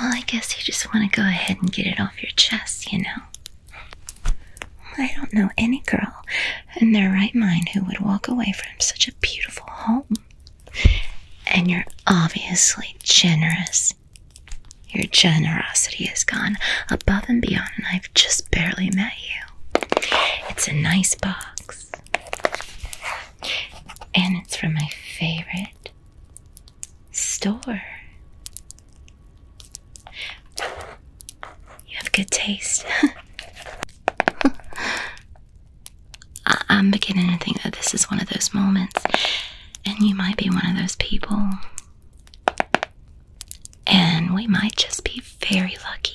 Well, I guess you just want to go ahead and get it off your chest, you know. I don't know any girl in their right mind who would walk away from such a beautiful home. And you're obviously generous. Your generosity is gone above and beyond, and I've just barely met you. It's a nice box and it's from my favorite store. You have good taste. I am beginning to think that this is one of those moments, and you might be one of those people. And we might just be very lucky.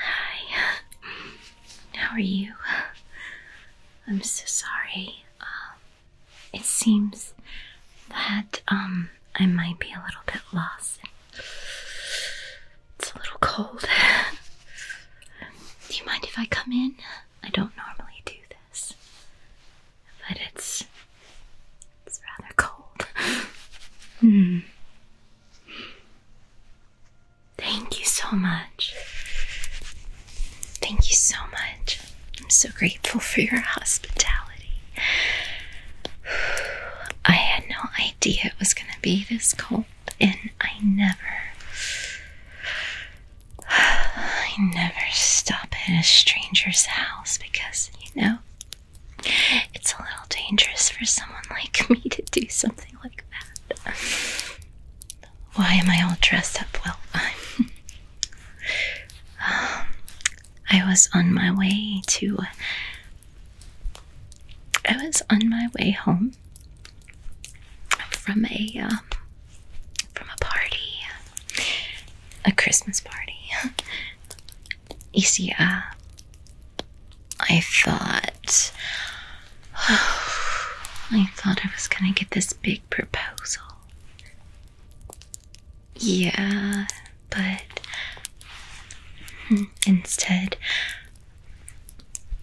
Hi. How are you? I'm so sorry. Um, it seems that um I might be a little bit lost. It's a little cold. Do you mind if I come in? I don't normally do this. But it's it's rather cold. Hmm. Thank you so much. Thank you so much. I'm so grateful for your hospitality. I had no idea it was going to be this cold, and I never. I never stop at a stranger's house because, you know, it's a little dangerous for someone like me to do something why am I all dressed up? Well, um, i was on my way to. I was on my way home from a um, from a party, a Christmas party, easier. Uh, I thought. I thought I was gonna get this big proposal. Yeah, but hmm, instead,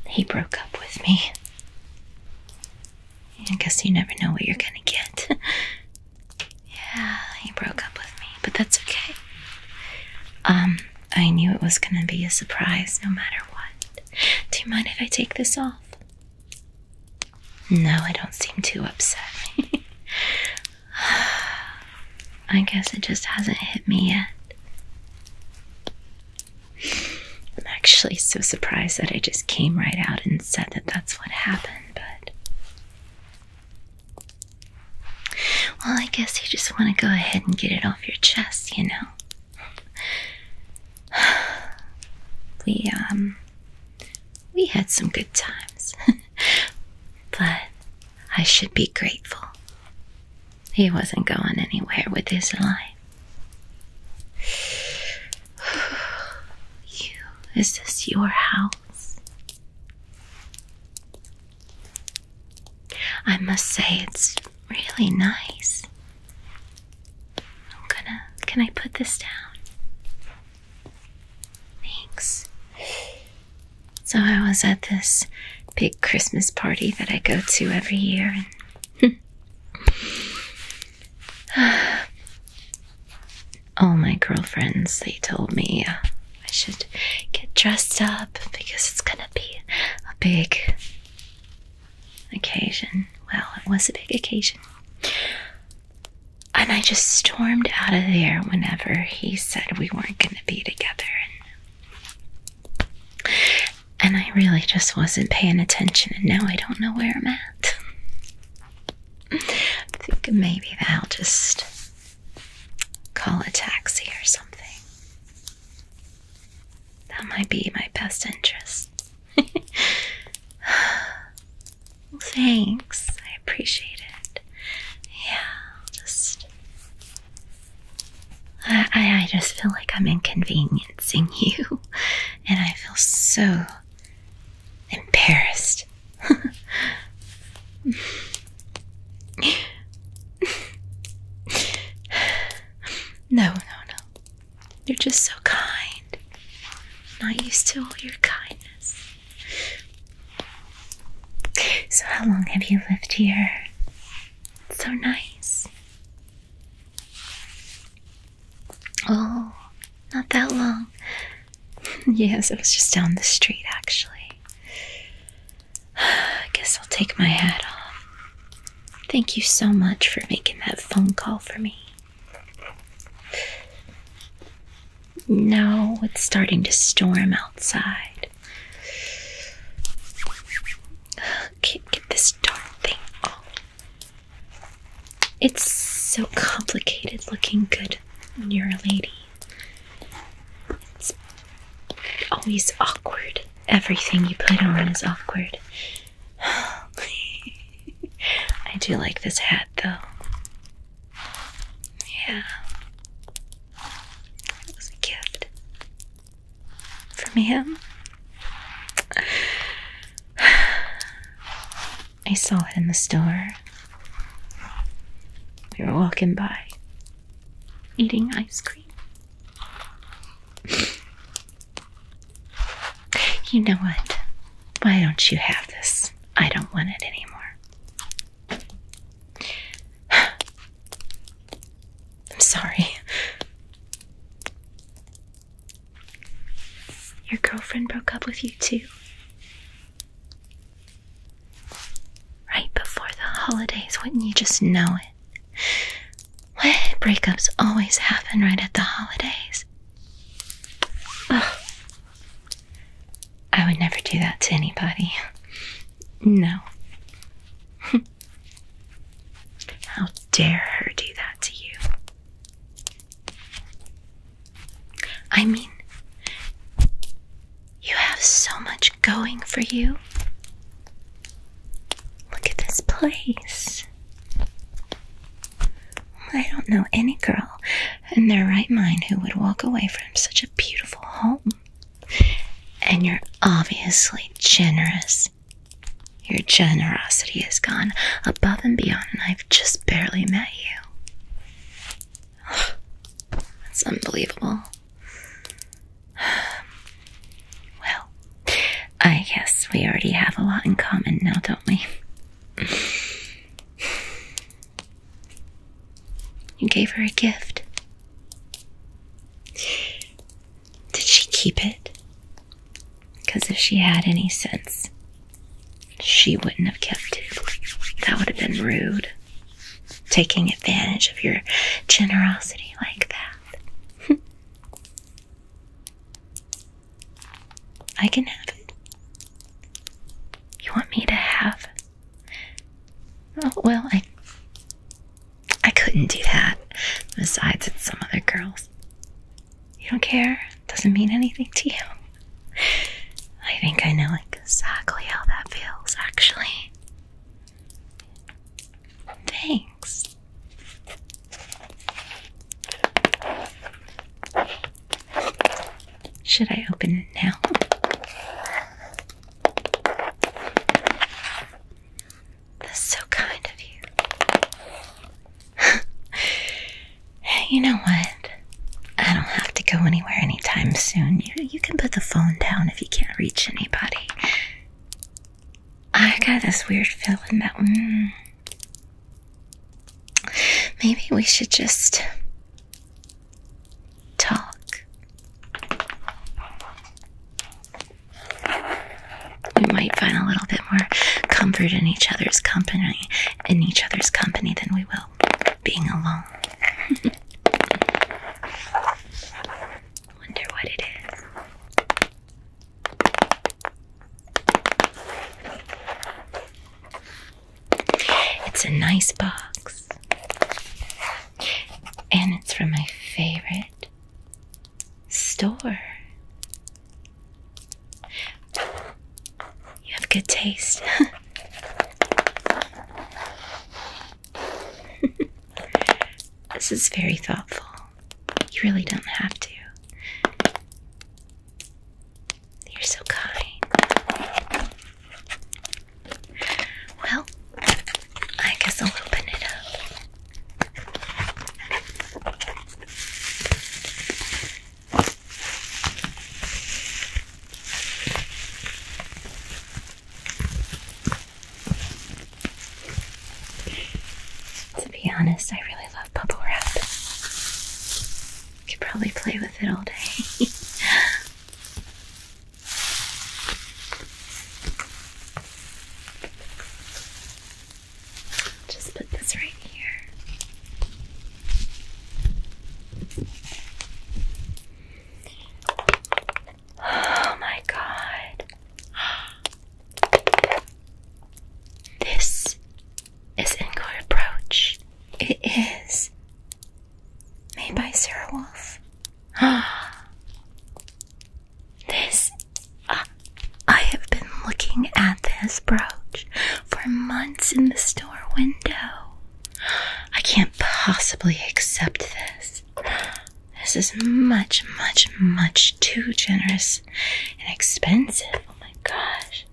he broke up with me. I guess you never know what you're gonna get. yeah, he broke up with me, but that's okay. Um, I knew it was going to be a surprise no matter what. Do you mind if I take this off? No, I don't seem too upset. I guess it just hasn't hit me yet. I'm actually so surprised that I just came right out and said that that's what happened, but well, I guess you just want to go ahead and get it off your chest, you know. We um we had some good times. but I should be grateful. He wasn't going anywhere with his life. you is this your house? I must say it's really nice. I'm gonna can I put this down? Thanks. So I was at this big Christmas party that I go to every year and all my girlfriends they told me uh, I should get dressed up because it's gonna be a big occasion. Well, it was a big occasion. And I just stormed out of there whenever he said we weren't gonna be together. And, I really just wasn't paying attention, and now I don't know where I'm at. I think maybe i will just call a taxi or something. That might be my best interest. thanks. I appreciate it. Yeah, just. I, I just feel like I'm inconveniencing you, and I feel so embarrassed. no, no, no. You're just so kind. Not used to all your kindness. So, how long have you lived here? so nice. Oh, not that long. yes, it was just down the street, actually. I guess I'll take my hat off. Thank you so much for making that phone call for me. Now it's starting to storm outside. Can't get this darn thing off. It's so complicated looking good when you're a lady always awkward. Everything you put on is awkward. I do like this hat though. Yeah. It was a gift from him. I saw it in the store. We were walking by, eating ice cream. you know what? Why don't you have this? I don't want it anymore. I'm sorry. Your girlfriend broke up with you too? Right before the holidays, wouldn't you just know it? breakups always happen right at the holidays? I would never do that to anybody. No. How dare her do that to you? I mean, you have so much going for you. Look at this place. I don't know any girl in their right mind who would walk away from such a beautiful home. And you're obviously generous. Your generosity has gone above and beyond, and I've just barely met you. That's unbelievable. Well, I guess we already have a lot in common now, don't we? You gave her a gift. Did she keep it? Because if she had any sense, she wouldn't have kept it. That would have been rude. Taking advantage of your generosity like that. I can have it. You want me to have? Oh, well, I. I couldn't do that. Besides, it's some other girls. You don't care? Doesn't mean anything to you. I think I know exactly how that feels, actually. Thanks. Should I open it now? That's so kind of you. you know what? I don't have to go anywhere anytime soon. You can put the phone down if you can't reach anybody. I got this weird feeling that mm, maybe we should just talk. We might find a little bit more comfort in each other's company in each other's company than we will being alone. Wonder what it is. It's a nice box, and it's from my favorite store. You have good taste. this is very thoughtful. You really don't have to. You're so kind. Well, I guess I'll open it up. To be honest, I really love bubble wrap. I could probably play with it all day. Just put this right here. Oh my god. This is Encore Approach. It is made by Sarah Wolf. this. Uh, I have been looking at this brooch for months in the store window. I can't possibly accept this. This is much, much, much too generous and expensive. Oh my gosh.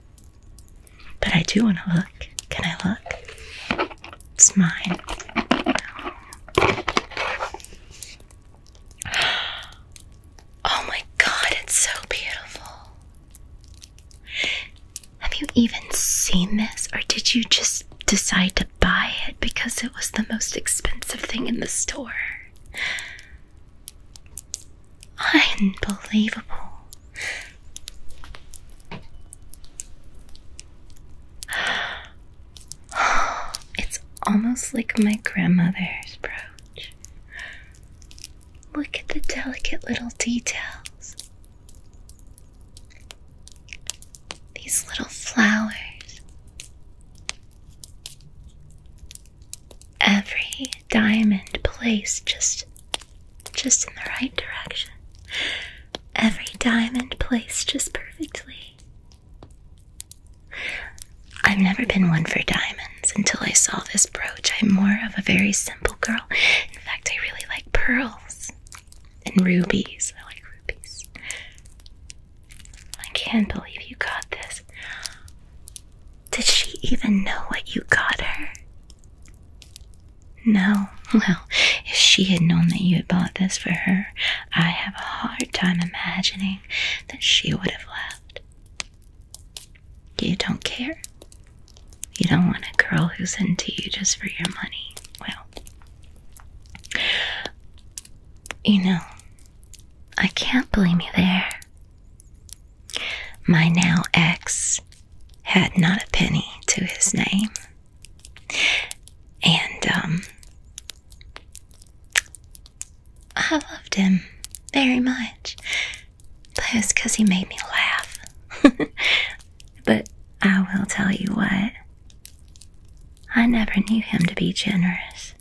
But I do want to look. Can I look? It's mine. Oh my god, it's so beautiful. Have you even seen this, or did you just decide to buy it because it was the most expensive thing in the store? Unbelievable. It's almost like my grandmother's brooch. Look at the delicate little details. These little flowers. Every diamond placed just just in the right direction. Every diamond placed just perfectly. I've never been one for diamonds until I saw this brooch. I'm more of a very simple girl. In fact, I really like pearls and rubies. I like rubies. I can't believe you got this. Did she even know what you got her? No. Well, if she had known that you had bought this for her, I have a hard time imagining that she would have left. You don't care. You don't want a girl who's into you just for your money. Well, you know, I can't blame you there. My now ex had not a penny to his name. And, um, I loved him very much. That's because he made me laugh. but I will tell you what, I never knew him to be generous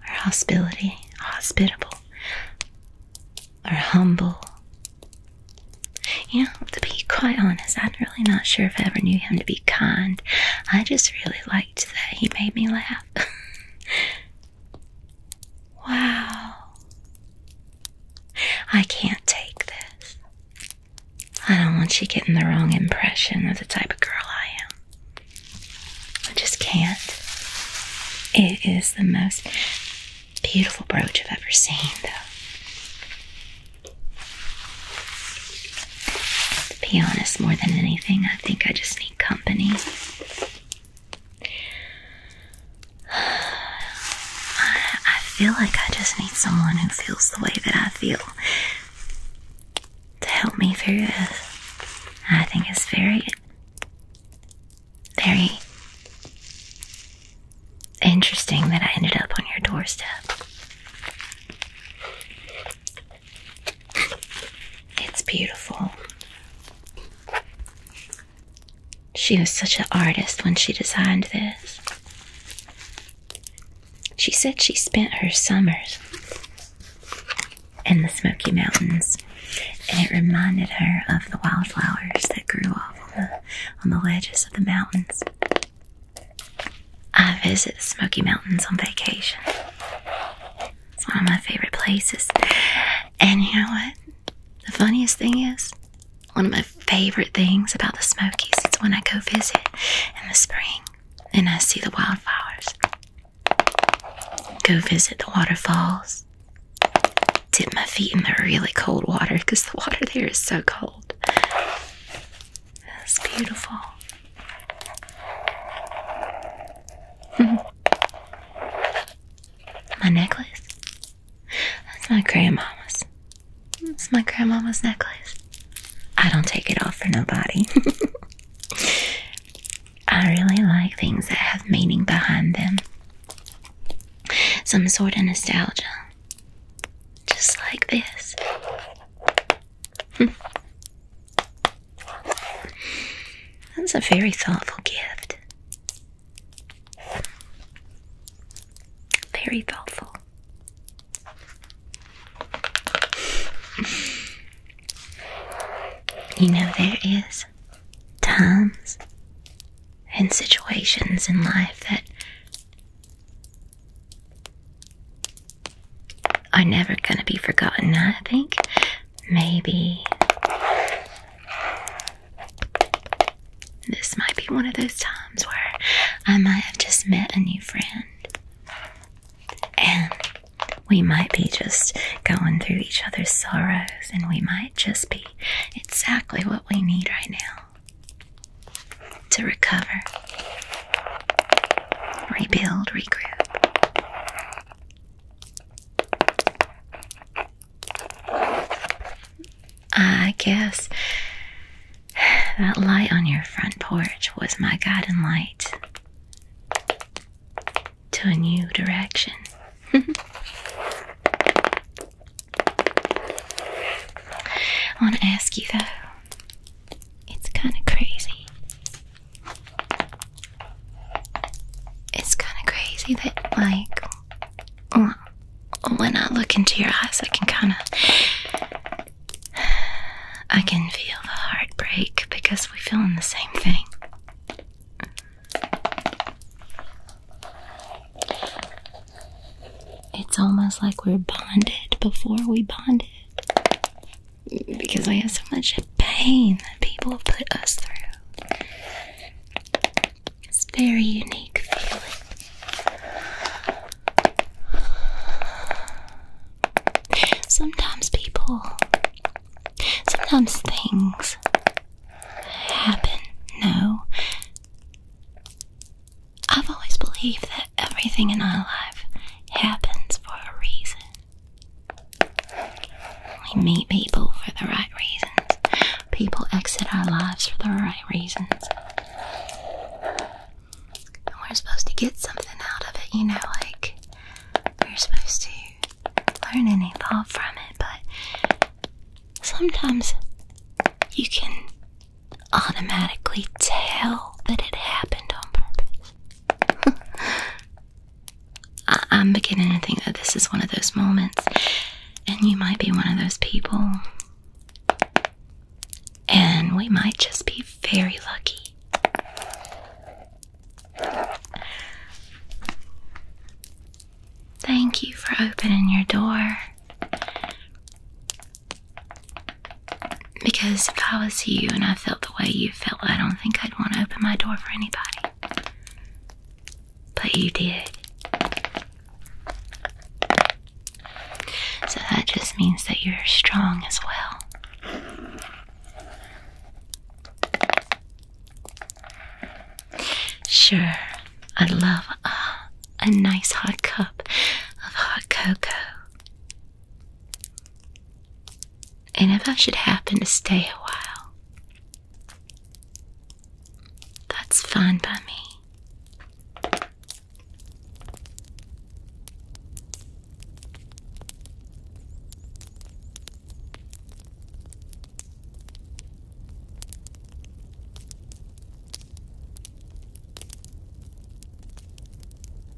or hospitality, hospitable, or humble. You know, to be quite honest, I'm really not sure if I ever knew him to be kind. I just really liked that he made me laugh. Wow. I can't take this. I don't want you getting the wrong impression of the type of girl I am. I just can't. It is the most beautiful brooch I've ever seen, though. To be honest, more than anything, I think I just need company. I, feel like I just need someone who feels the way that I feel to help me through this. I think it's very, very interesting that I ended up on your doorstep. It's beautiful. She was such an artist when she designed this. She said she spent her summers in the Smoky Mountains, and it reminded her of the wildflowers that grew off on the, on the ledges of the mountains. I visit the Smoky Mountains on vacation, it's one of my favorite places. And you know what? The funniest thing is, one of my favorite things about the Smokies is when I go visit in the spring and I see the wildflowers. Go visit the waterfalls. Dip my feet in the really cold water because the water there is so cold. It's beautiful. My necklace? That's my grandmama's. It's my grandmama's necklace. I don't take it off for nobody. I really like things that have meaning behind them. Some sort of nostalgia. Just like this. That's a very thoughtful gift. Very thoughtful. You know, there is times and situations in life that are never going to be forgotten, I think. Maybe this might be one of those times where I might have just met a new friend and we might be just going through each other's sorrows and we might just be exactly what we need right now to recover, rebuild, regroup. I guess that light on your front porch was my guiding light to a new direction. I want to ask you though, it's kind of crazy it's kind of crazy that, like, when I look into your eyes, I can kind of. I can feel the heartbreak because we're feeling the same thing. It's almost like we're bonded before we bonded because I have so much pain that people put us through. It's very unique feeling. Sometimes people, sometimes things happen. No, I've always believed that everything in our life happens for a reason. We meet people for the right reasons. People exit our lives for the right reasons. And we're supposed to get something out of it, you know, like we're supposed to learn and evolve from it, but sometimes you can automatically tell that it happened on purpose. I am beginning to think that this is one of those moments, and you might be one of those people. And we might just be very lucky. Thank you for opening your door. Because if I was you and I felt the way you felt, I don't think I'd want to open my door for anybody. But you did. So that just means that you're strong as well. Sure, I love uh, a nice hot cup of hot cocoa. And if I should happen to stay a while, that's fine by me.